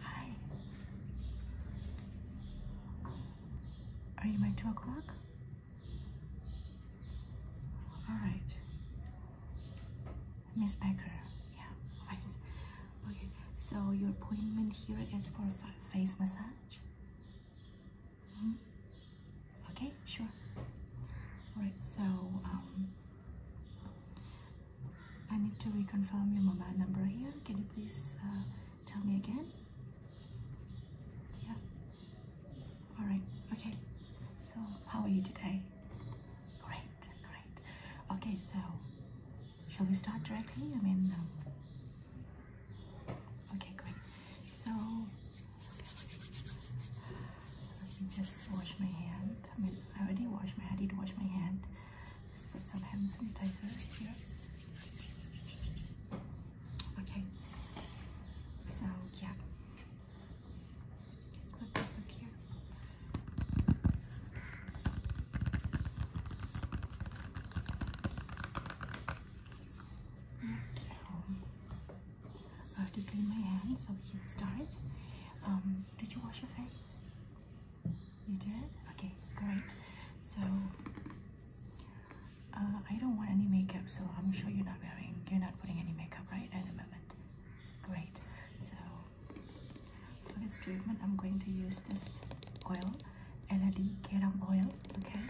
Hi. Are you by two o'clock? All right. Miss Becker, yeah, Okay, so your appointment here is for face massage. Hmm? Okay, sure. All right, so um, I need to reconfirm your mobile number here. Can you please uh, tell me again? Yeah. All right. Okay. So, how are you today? Great. Great. Okay. So, shall we start directly? I mean. Um, okay. Great. So, let me just wash my hands. I mean, I already washed my hand. I did wash my hand. Just put some hand sanitizer here. Okay. So yeah. Just put that back here. Okay. Um, I have to clean my hands so we can start. Um, did you wash your face? You did? Okay, great. So uh, I don't want any makeup, so I'm sure you're not wearing, you're not putting any makeup right at the moment. Great. So for this treatment, I'm going to use this oil, LED Kerang oil. Okay.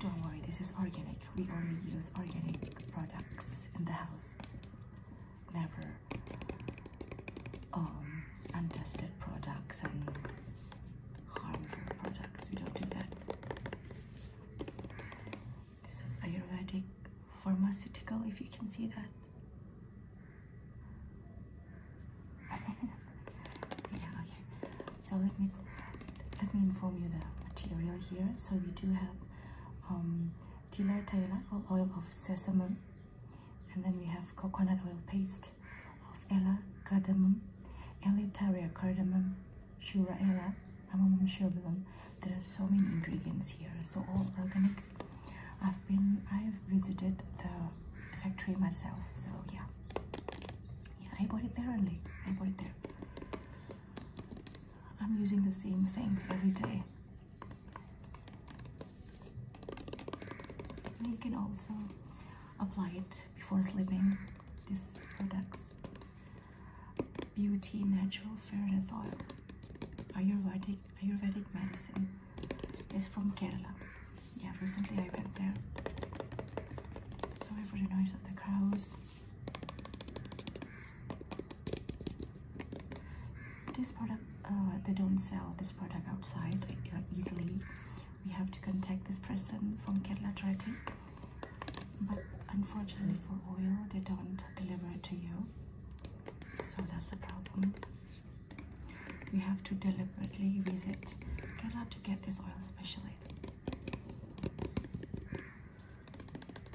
Don't worry, this is organic. We only use organic products in the house. Never um, untested products and harmful products. We don't do that. This is Ayurvedic pharmaceutical, if you can see that. yeah, okay. So let me let me inform you the material here. So we do have um, Tila Thailand oil of sesame and then we have coconut oil paste of ela cardamom, ela Elitaria cardamom, Shura Ella, Amamum Shobulum. There are so many ingredients here, so all organics. I've been, I've visited the factory myself, so yeah. Yeah, I bought it there only. I bought it there. I'm using the same thing every day. You can also apply it before sleeping. This products beauty natural fairness oil, Ayurvedic Ayurvedic medicine, is from Kerala. Yeah, recently I went there. Sorry for the noise of the cows. This product, uh, they don't sell this product outside uh, easily. We have to contact this person from Kerala directly. But unfortunately for oil, they don't deliver it to you. So that's the problem. We have to deliberately visit Kerala to get this oil specially.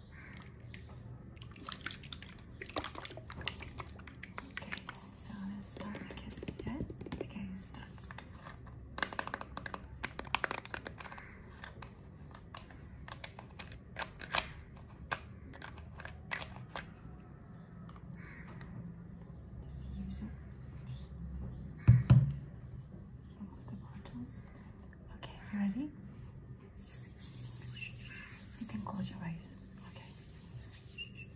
Okay, so let's start the kiss yet. Okay, start. Just use it. Some of the bottles. Okay, you ready? You can close your eyes. Okay.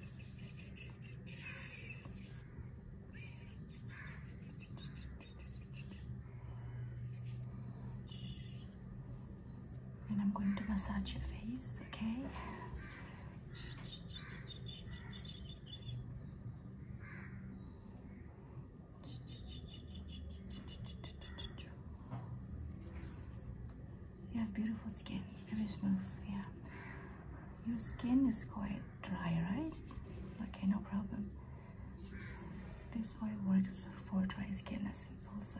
And I'm going to massage your face, okay? You have beautiful skin, very smooth, yeah. Your skin is quite dry, right? Okay, no problem. This oil works for dry skin as also.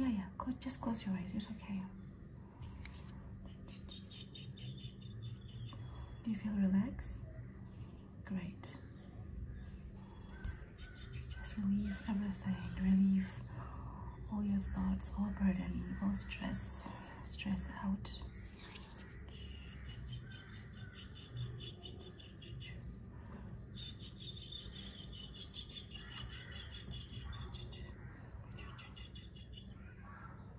Yeah, yeah, just close your eyes, it's okay. Do you feel relaxed? Great. Just relieve everything. Relieve all your thoughts, all burden, all stress. Stress out.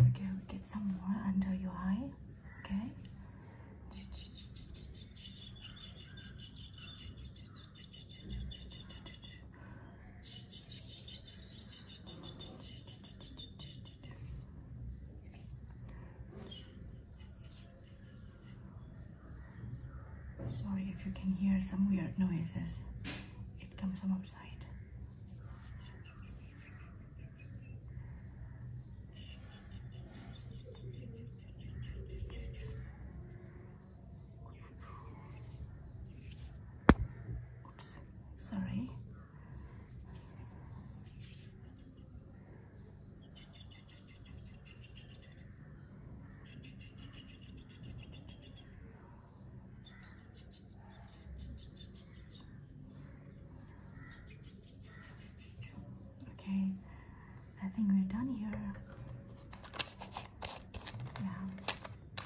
Okay, get some more under your eye. Okay. Sorry if you can hear some weird noises. It comes from Oops, sorry. Okay, I think we're done here. Yeah.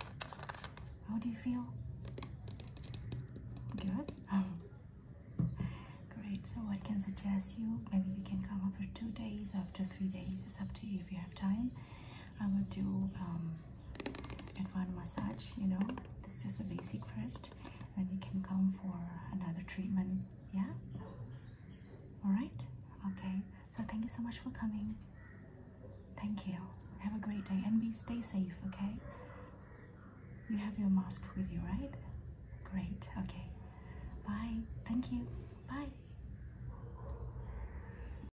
How do you feel? Good. Oh. great. So, what can suggest you? Maybe we can come for two days, after three days. It's up to you if you have time. I will do um, advanced massage, you know, this is just a basic first. Then you can come for another treatment. Yeah. All right. Okay. So thank you so much for coming. Thank you. Have a great day and be stay safe. Okay. You have your mask with you, right? Great. Okay. Bye. Thank you. Bye.